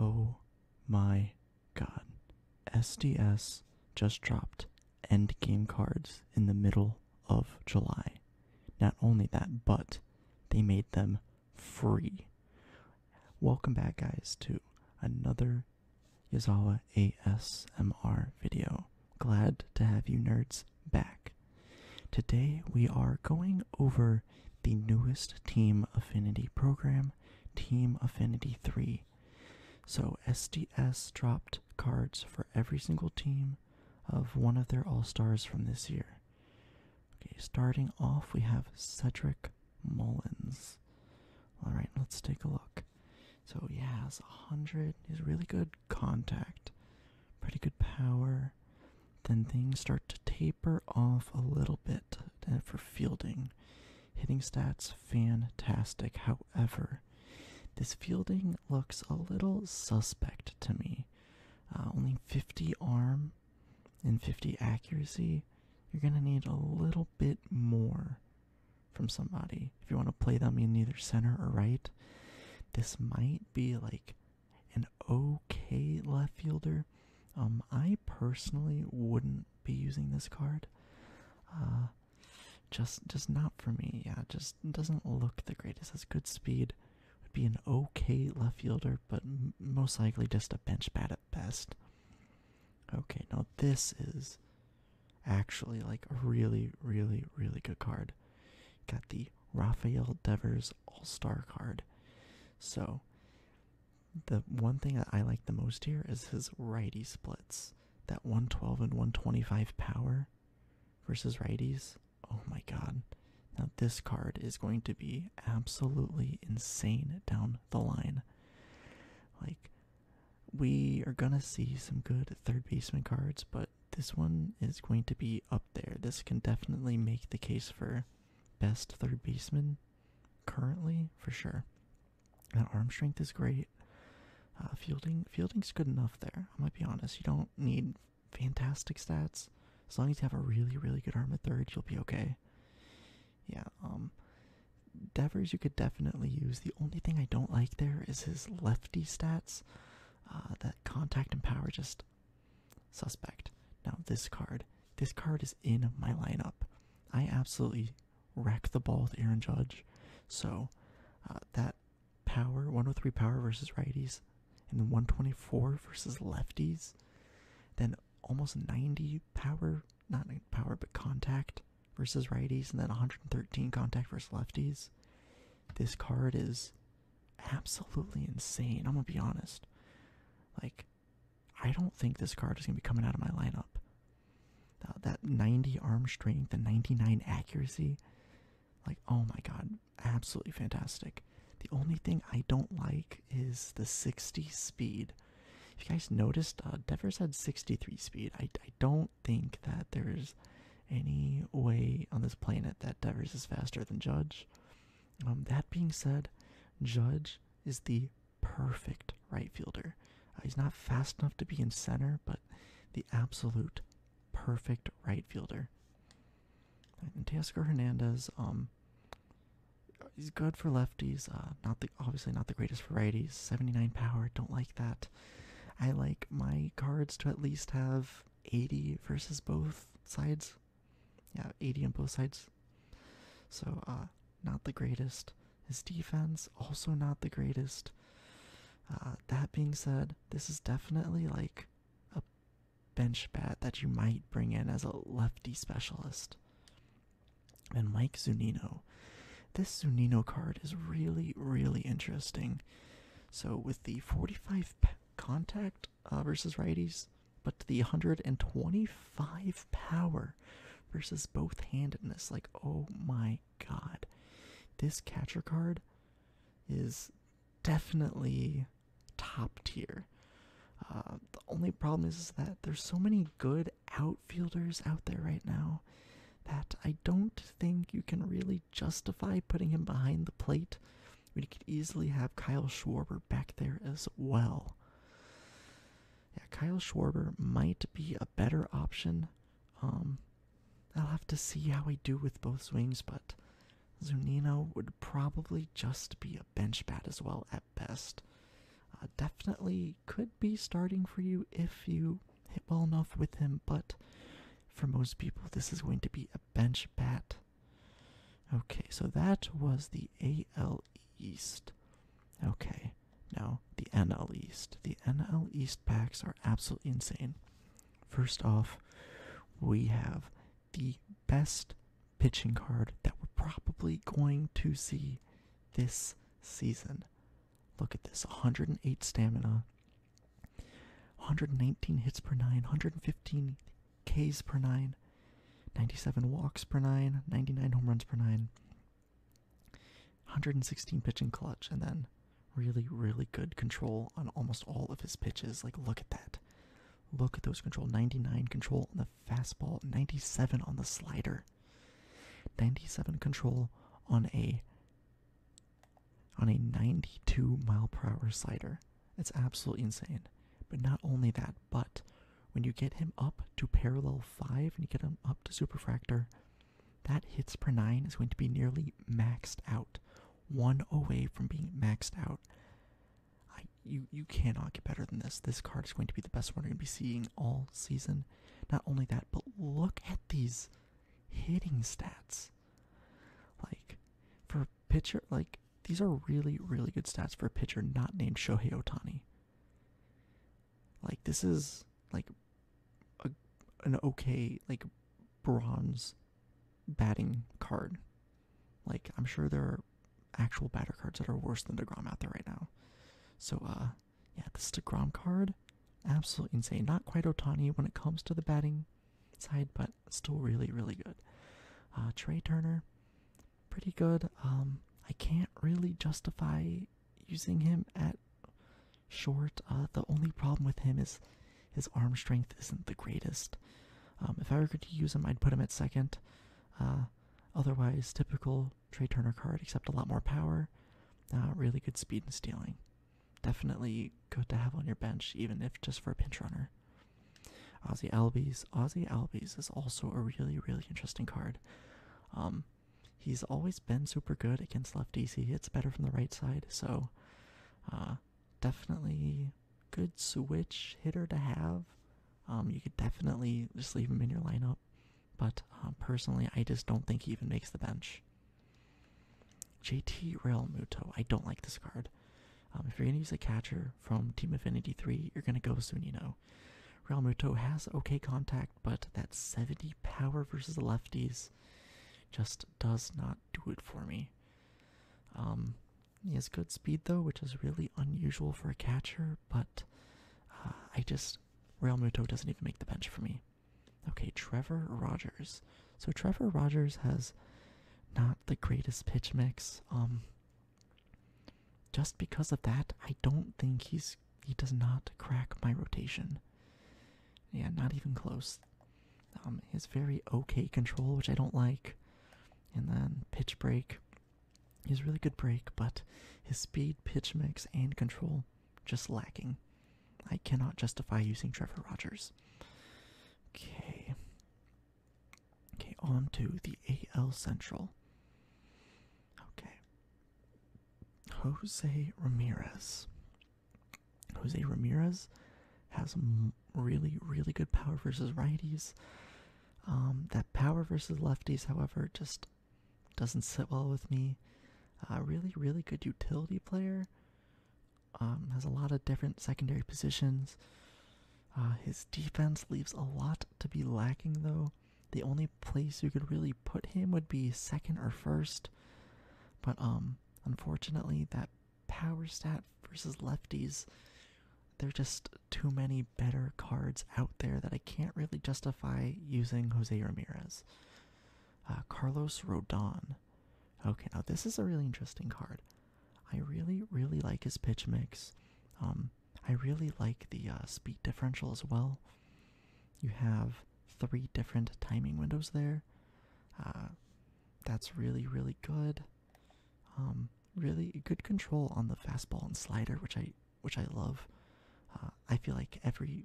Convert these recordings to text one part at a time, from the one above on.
Oh my god. SDS just dropped endgame cards in the middle of July. Not only that, but they made them free. Welcome back, guys, to another Yazawa ASMR video. Glad to have you nerds back. Today we are going over the newest Team Affinity program, Team Affinity 3. So, SDS dropped cards for every single team of one of their All Stars from this year. Okay, starting off, we have Cedric Mullins. All right, let's take a look. So, he has 100, he's really good contact, pretty good power, then things start to taper off a little bit for fielding. Hitting stats fantastic. However, this fielding looks a little suspect to me. Uh, only 50 arm and 50 accuracy. You're going to need a little bit more from somebody. If you want to play them in either center or right, this might be like an okay left fielder. Um, I personally wouldn't be using this card. Uh, just, just not for me. Yeah, just doesn't look the greatest. Has good speed. Would be an okay left fielder, but most likely just a bench bat at best. Okay, now this is actually like a really, really, really good card. Got the Rafael Devers All Star card. So the one thing that I like the most here is his righty splits. That 112 and 125 power versus righties. Oh my god. Now this card is going to be absolutely insane down the line. Like we are going to see some good third basement cards, but this one is going to be up there. This can definitely make the case for best third baseman currently for sure. That arm strength is great. Uh, fielding fielding's good enough there. I might be honest. You don't need fantastic stats. As long as you have a really really good arm at third, you'll be okay. Yeah. Um. Devers you could definitely use. The only thing I don't like there is his lefty stats. Uh, that contact and power just suspect. Now this card, this card is in my lineup. I absolutely wreck the ball with Aaron Judge. So uh, that power, 103 power versus righties, and then 124 versus lefties, then almost 90 power, not power, but contact versus righties, and then 113 contact versus lefties. This card is absolutely insane. I'm gonna be honest. Like, I don't think this card is going to be coming out of my lineup. that 90 arm strength, and 99 accuracy, like, oh my god, absolutely fantastic. The only thing I don't like is the 60 speed. If you guys noticed, uh, had 63 speed. I, don't think that there's any way on this planet that Devers is faster than Judge. Um, that being said, Judge is the perfect right fielder. Uh, he's not fast enough to be in center, but the absolute perfect right fielder. And Teoscar Hernandez, um, he's good for lefties. Uh, not the obviously not the greatest for righties. Seventy nine power, don't like that. I like my cards to at least have eighty versus both sides yeah, 80 on both sides. So, uh, not the greatest. His defense, also not the greatest. Uh, that being said, this is definitely like a bench bat that you might bring in as a lefty specialist. And Mike Zunino. This Zunino card is really, really interesting. So, with the 45 contact, uh, versus righties, but the 125 power versus both handedness. Like, oh my god. This catcher card is definitely top tier. Uh, the only problem is that there's so many good outfielders out there right now that I don't think you can really justify putting him behind the plate we could easily have Kyle Schwarber back there as well. Yeah, Kyle Schwarber might be a better option. Um, I'll have to see how we do with both swings, but Zunino would probably just be a bench bat as well at best. Uh, definitely could be starting for you if you hit well enough with him, but for most people, this is going to be a bench bat. Okay, so that was the AL East. Okay, now the NL East. The NL East packs are absolutely insane. First off, we have the best pitching card that we're probably going to see this season. Look at this 108 stamina, 119 hits per nine, 115 Ks per nine, 97 walks per nine, 99 home runs per nine, 116 pitching clutch, and then really, really good control on almost all of his pitches. Like, look at that. Look at those control 99 control on the fastball, 97 on the slider, 97 control on a on a 92 mile per hour slider that's absolutely insane. But not only that, but when you get him up to parallel 5 and you get him up to superfractor, that hits per 9 is going to be nearly maxed out. One away from being maxed out. I, you, you cannot get better than this. This card is going to be the best one you're going to be seeing all season. Not only that, but look at these hitting stats. Like, for pitcher, like, these are really, really good stats for a pitcher not named Shohei Otani. Like, this is like a, an okay, like, bronze batting card. Like, I'm sure there are actual batter cards that are worse than DeGrom out there right now. So, uh, yeah, this is DeGrom card, absolutely insane. Not quite Otani when it comes to the batting side, but still really, really good. Uh, Trey Turner, pretty good. Um, I can't really justify using him at short. Uh, the only problem with him is his arm strength isn't the greatest. Um, if I were to use him, I'd put him at second. Uh, otherwise, typical Trey Turner card, except a lot more power. really good speed and stealing. Definitely good to have on your bench, even if just for a pinch runner. Ozzy Albies. Ozzy Albies is also a really, really interesting card. Um, he's always been super good against left DC. It's better from the right side, so uh, definitely good switch hitter to have. Um, you could definitely just leave him in your lineup, but uh, personally, I just don't think he even makes the bench. JT Real Muto. I don't like this card. Um, if you're going to use a catcher from Team Affinity 3, you're going to go soon, you know. Muto has okay contact, but that 70 power versus the lefties just does not do it for me. Um, he has good speed though, which is really unusual for a catcher, but uh, I just Real doesn't even make the bench for me. Okay, Trevor Rogers. So Trevor Rogers has not the greatest pitch mix. Um just because of that, I don't think he's he does not crack my rotation. Yeah, not even close. Um his very okay control, which I don't like. And then pitch break. He's really good break, but his speed, pitch mix, and control just lacking. I cannot justify using Trevor Rogers. Okay. Okay, on to the AL Central. Okay. Jose Ramirez. Jose Ramirez has really, really good power versus righties. Um, that power versus lefties, however, just doesn't sit well with me. Uh, really, really good utility player. Um, has a lot of different secondary positions. Uh, his defense leaves a lot to be lacking, though. The only place you could really put him would be second or first, but um, unfortunately, that power stat versus lefties, there are just too many better cards out there that I can't really justify using Jose Ramirez. Uh, Carlos Rodon. Okay, now this is a really interesting card. I really, really like his pitch mix. Um, I really like the uh, speed differential as well. You have three different timing windows there. Uh, that's really, really good. Um, really good control on the fastball and slider, which I which I love. Uh, I feel like every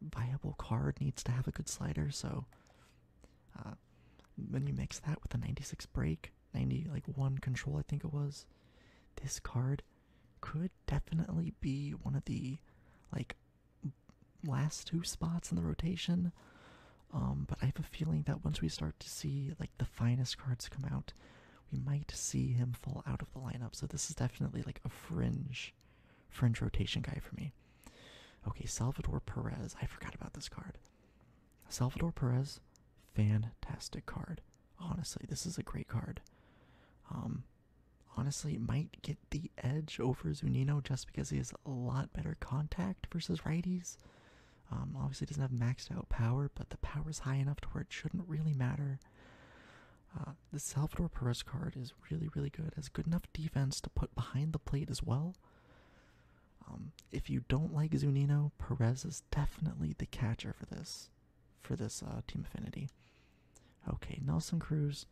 viable card needs to have a good slider, so when you mix that with a 96 break, 90 like one control, I think it was, this card could definitely be one of the like last two spots in the rotation. Um, but I have a feeling that once we start to see like the finest cards come out, we might see him fall out of the lineup. So this is definitely like a fringe, fringe rotation guy for me. Okay, Salvador Perez. I forgot about this card. Salvador Perez, fantastic card. Honestly, this is a great card. Um, honestly, it might get the edge over Zunino just because he has a lot better contact versus righties. Um, obviously, doesn't have maxed out power, but the power is high enough to where it shouldn't really matter. Uh, the Salvador Perez card is really, really good. Has good enough defense to put behind the plate as well. Um, if you don't like Zunino, Perez is definitely the catcher for this, for this uh, team affinity. Okay, Nelson Cruz,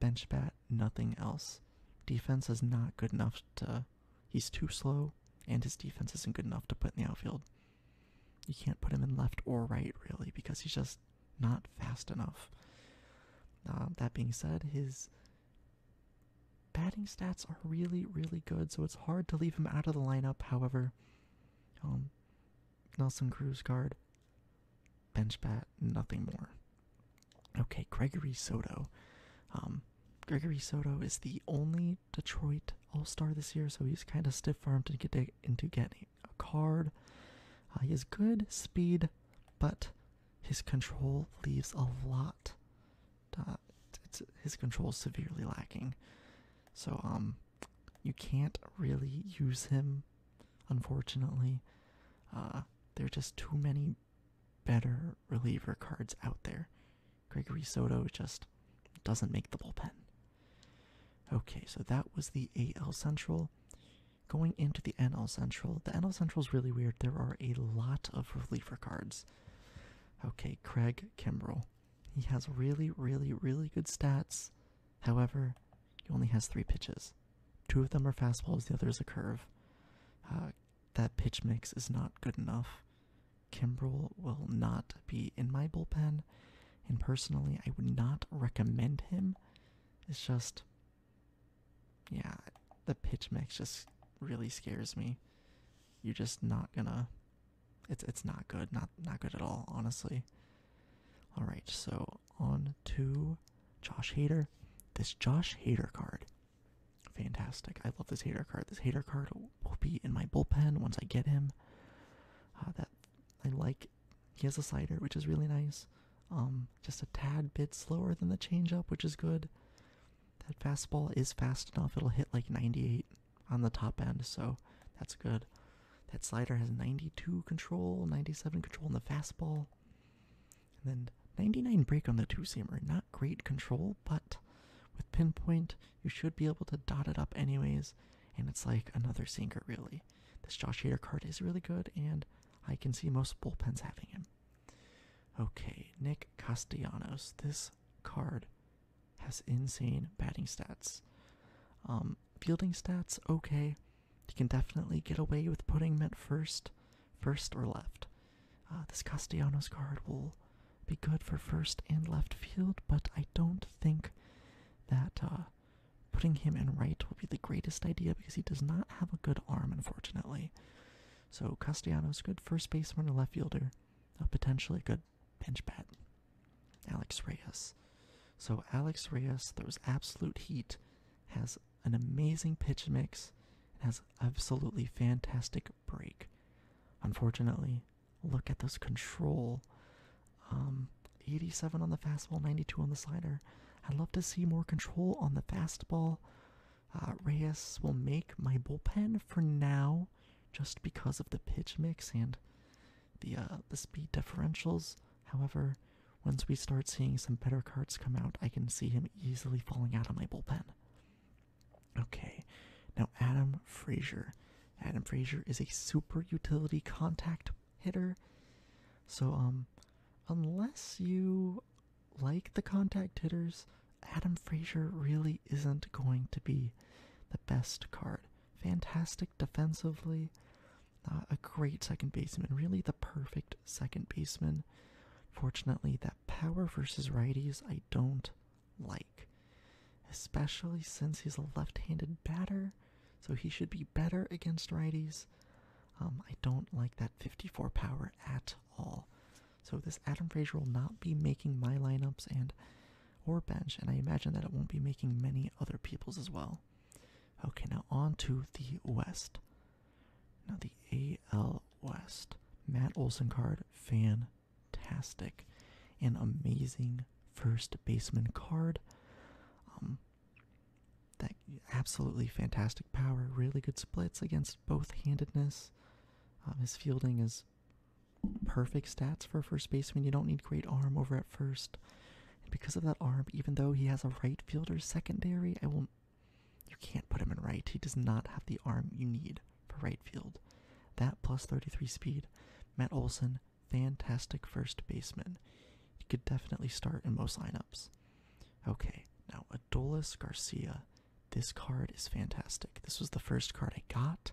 bench bat, nothing else. Defense is not good enough to. He's too slow, and his defense isn't good enough to put in the outfield. You can't put him in left or right really because he's just not fast enough. Uh, that being said, his Batting stats are really, really good, so it's hard to leave him out of the lineup. However, um, Nelson Cruz guard, bench bat, nothing more. Okay, Gregory Soto. Um, Gregory Soto is the only Detroit All Star this year, so he's kind of stiff armed to get into getting a card. Uh, he has good speed, but his control leaves a lot it's, his control is severely lacking. So um, you can't really use him, unfortunately. Uh, there are just too many better reliever cards out there. Gregory Soto just doesn't make the bullpen. Okay, so that was the AL Central. Going into the NL Central, the NL Central is really weird. There are a lot of reliever cards. Okay, Craig Kimbrell. He has really, really, really good stats. However, he only has three pitches. Two of them are fastballs, the other is a curve. Uh, that pitch mix is not good enough. Kimbrell will not be in my bullpen, and personally, I would not recommend him. It's just yeah, the pitch mix just really scares me. You're just not gonna it's it's not good, not not good at all, honestly. Alright, so on to Josh Hader. This Josh Hader card. Fantastic. I love this hater card. This hater card will be in my bullpen once I get him. Uh, that I like. He has a slider, which is really nice. Um, just a tad bit slower than the changeup, which is good. That fastball is fast enough; it'll hit like 98 on the top end, so that's good. That slider has 92 control, 97 control on the fastball, and then 99 break on the two seamer. Not great control, but with pinpoint, you should be able to dot it up anyways. And it's like another sinker, really. This Josh Hader card is really good, and I can see most bullpens having him. Okay, Nick Castellanos. This card has insane batting stats. Um, fielding stats, okay. You can definitely get away with putting him at first, first or left. Uh, this Castellanos card will be good for first and left field, but I don't think that uh, putting him in right will be the greatest idea because he does not have a good arm, unfortunately. So Castellanos, good first baseman or left fielder, uh, a potentially good bench bat. Alex Reyes. So Alex Reyes throws absolute heat, has an amazing pitch mix, and has absolutely fantastic break. Unfortunately, look at this control. Um, 87 on the fastball, 92 on the slider. I'd love to see more control on the fastball. Uh, Reyes will make my bullpen for now, just because of the pitch mix and the uh, the speed differentials. However, once we start seeing some better cards come out, I can see him easily falling out of my bullpen. Okay, now Adam Frazier. Adam Frazier is a super utility contact hitter. So, um, unless you like the contact hitters, Adam Frazier really isn't going to be the best card. Fantastic defensively, a great second baseman, really the perfect second baseman. Fortunately, that power versus righties I don't like, especially since he's a left handed batter, so he should be better against righties. Um, I don't like that 54 power at all. So this Adam Frazier will not be making my lineups and or bench, and I imagine that it won't be making many other people's as well. Okay, now on to the West. Now the AL West. Matt Olson card, fantastic. and amazing first baseman card. Um that absolutely fantastic power, really good splits against both handedness. Um, his fielding is perfect stats for first baseman. You don't need great arm over at first. And because of that arm, even though he has a right fielder secondary, I will you can't put him in right. He does not have the arm you need for right field. That plus 33 speed. Matt Olson, fantastic first baseman. He could definitely start in most lineups. Okay, now Adolis Garcia. This card is fantastic. This was the first card I got.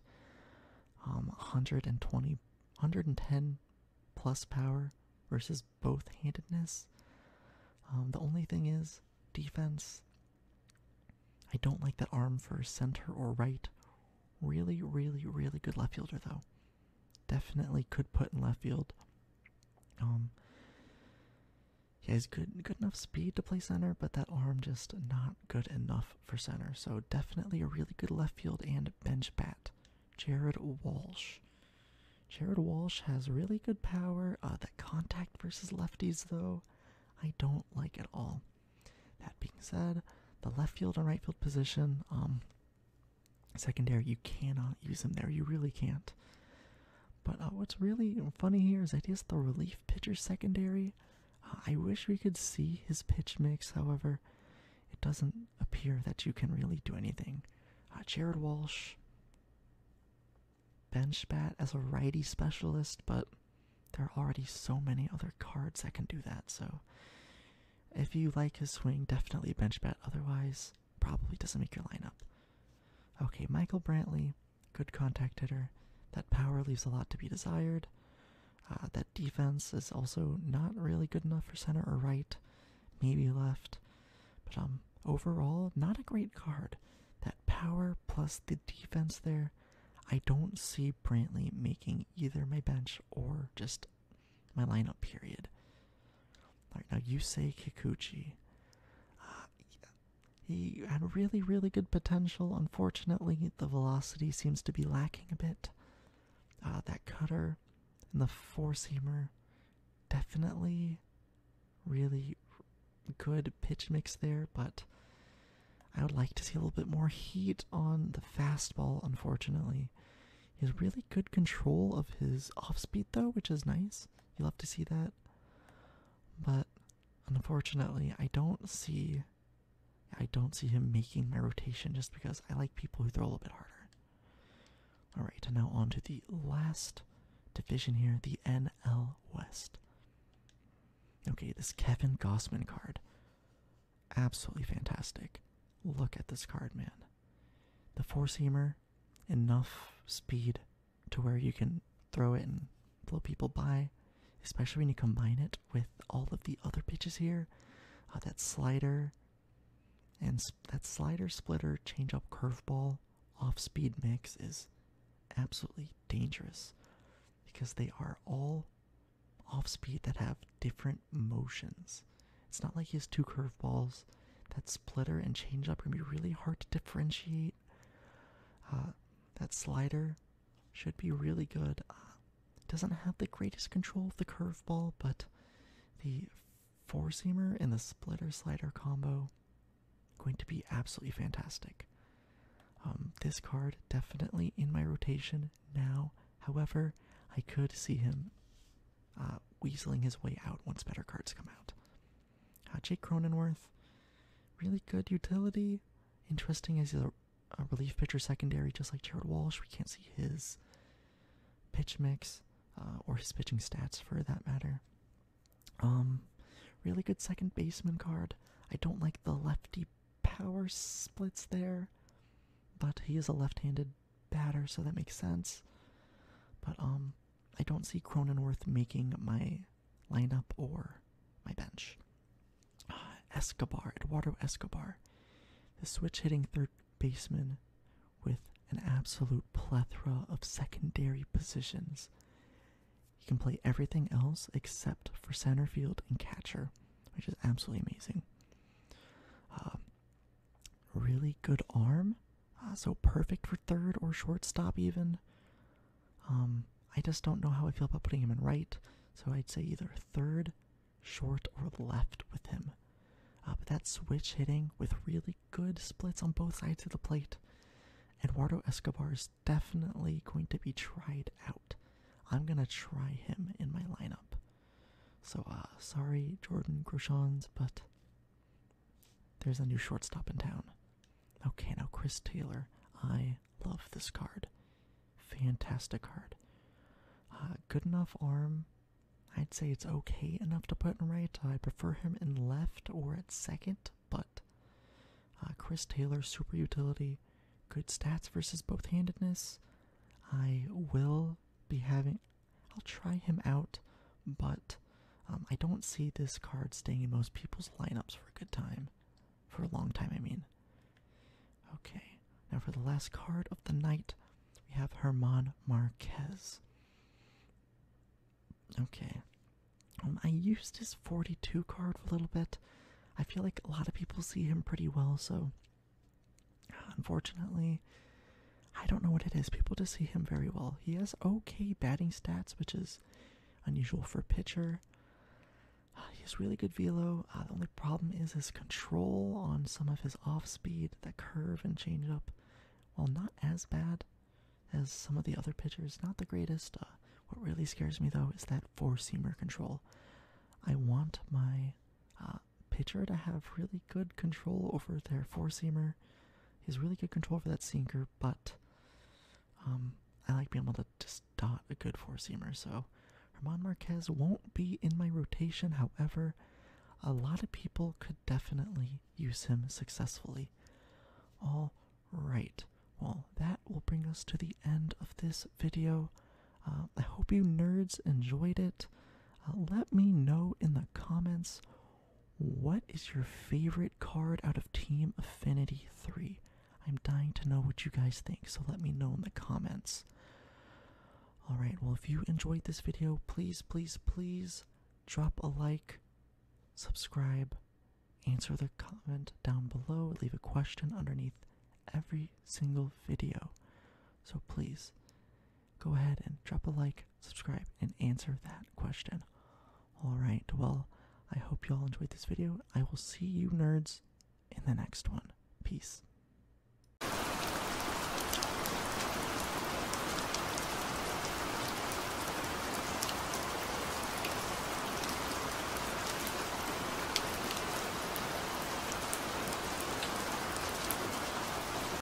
Um, 120, 110 plus power versus both handedness. Um, the only thing is defense. I don't like that arm for center or right. Really, really, really good left fielder though. Definitely could put in left field. Um, he has good, good enough speed to play center, but that arm just not good enough for center. So definitely a really good left field and bench bat. Jared Walsh. Jared Walsh has really good power. Uh, that contact versus lefties, though, I don't like at all. That being said, the left field and right field position, um, secondary, you cannot use him there. You really can't. But uh, what's really funny here is that he the relief pitcher secondary. Uh, I wish we could see his pitch mix, however, it doesn't appear that you can really do anything. Uh, Jared Walsh, bench bat as a righty specialist, but there are already so many other cards that can do that, so if you like his swing, definitely bench bat. Otherwise, probably doesn't make your lineup. Okay, Michael Brantley, good contact hitter. That power leaves a lot to be desired. Uh, that defense is also not really good enough for center or right, maybe left. But um, overall, not a great card. That power plus the defense there, I don't see Brantley making either my bench or just my lineup. Period. Like now, say Kikuchi. Uh, he had really, really good potential. Unfortunately, the velocity seems to be lacking a bit. Uh, that cutter and the four seamer, definitely, really good pitch mix there. But I would like to see a little bit more heat on the fastball. Unfortunately, he has really good control of his off speed though, which is nice. You love to see that. But unfortunately, I don't see I don't see him making my rotation just because I like people who throw a little bit harder. All right, and now on to the last division here, the NL West. Okay, this Kevin Gossman card. Absolutely fantastic. Look at this card, man. The force hammer, enough speed, to where you can throw it and blow people by, especially when you combine it with all of the other pitches here. Uh, that slider and that slider splitter change up curveball off speed mix is absolutely dangerous because they are all off speed that have different motions. It's not like he has two curveballs that splitter and changeup are going to be really hard to differentiate. Uh, that slider should be really good. Uh, doesn't have the greatest control of the curveball, but the four seamer and the splitter slider combo going to be absolutely fantastic. Um, this card definitely in my rotation now. However, I could see him uh, weaseling his way out once better cards come out. How Jake Cronenworth, really good utility. Interesting as he's a, relief pitcher secondary, just like Jared Walsh. We can't see his pitch mix uh, or his pitching stats for that matter. Um, really good second baseman card. I don't like the lefty power splits there, but he is a left-handed batter, so that makes sense. But um, I don't see Cronenworth making my lineup or my bench. Uh, Escobar, Eduardo Escobar, the switch hitting third baseman with an absolute plethora of secondary positions. He can play everything else except for center field and catcher, which is absolutely amazing. Uh, really good arm, Ah, so perfect for third or shortstop, even. Um, I just don't know how I feel about putting him in right, so I'd say either third, short, or left with him. Ah, but that switch hitting with really good splits on both sides of the plate. Eduardo Escobar is definitely going to be tried out. I'm gonna try him in my lineup. So, ah, sorry, Jordan Groshans, but there's a new shortstop in town. Okay, now Chris Taylor. I love this card. Fantastic card. Uh, good enough arm. I'd say it's okay enough to put in right. I prefer him in left or at second, but uh, Chris Taylor, super utility, good stats versus both handedness. I will be having, I'll try him out, but um, I don't see this card staying in most people's lineups for a good time. For a long time, I mean. Okay, now for the last card of the night, we have Herman Marquez. Okay. Um, I used his 42 card for a little bit. I feel like a lot of people see him pretty well, so unfortunately, I don't know what it is. People just see him very well. He has okay batting stats, which is unusual for a pitcher. Uh, he has really good velo. Uh, the only problem is his control on some of his off speed, the curve and changeup. Well, not as bad as some of the other pitchers, not the greatest. Uh, what really scares me though is that four seamer control. I want my pitcher to have really good control over their four seamer He's really good control for that sinker, but um, I like being able to dot a good four seamer. So Herman Marquez won't be in my rotation. However, a lot of people could definitely use him successfully. All right. Well, that will bring us to the end of this video. Uh, I hope you nerds enjoyed it. Uh, let me know in the comments what is your favorite card out of Team Affinity 3? I'm dying to know what you guys think, so let me know in the comments. Alright, well, if you enjoyed this video, please, please, please drop a like, subscribe, answer the comment down below, leave a question underneath every single video. So please, go ahead and drop a like, subscribe, and answer that question. All right, well, I hope you all enjoyed this video. I will see you nerds in the next one. Peace.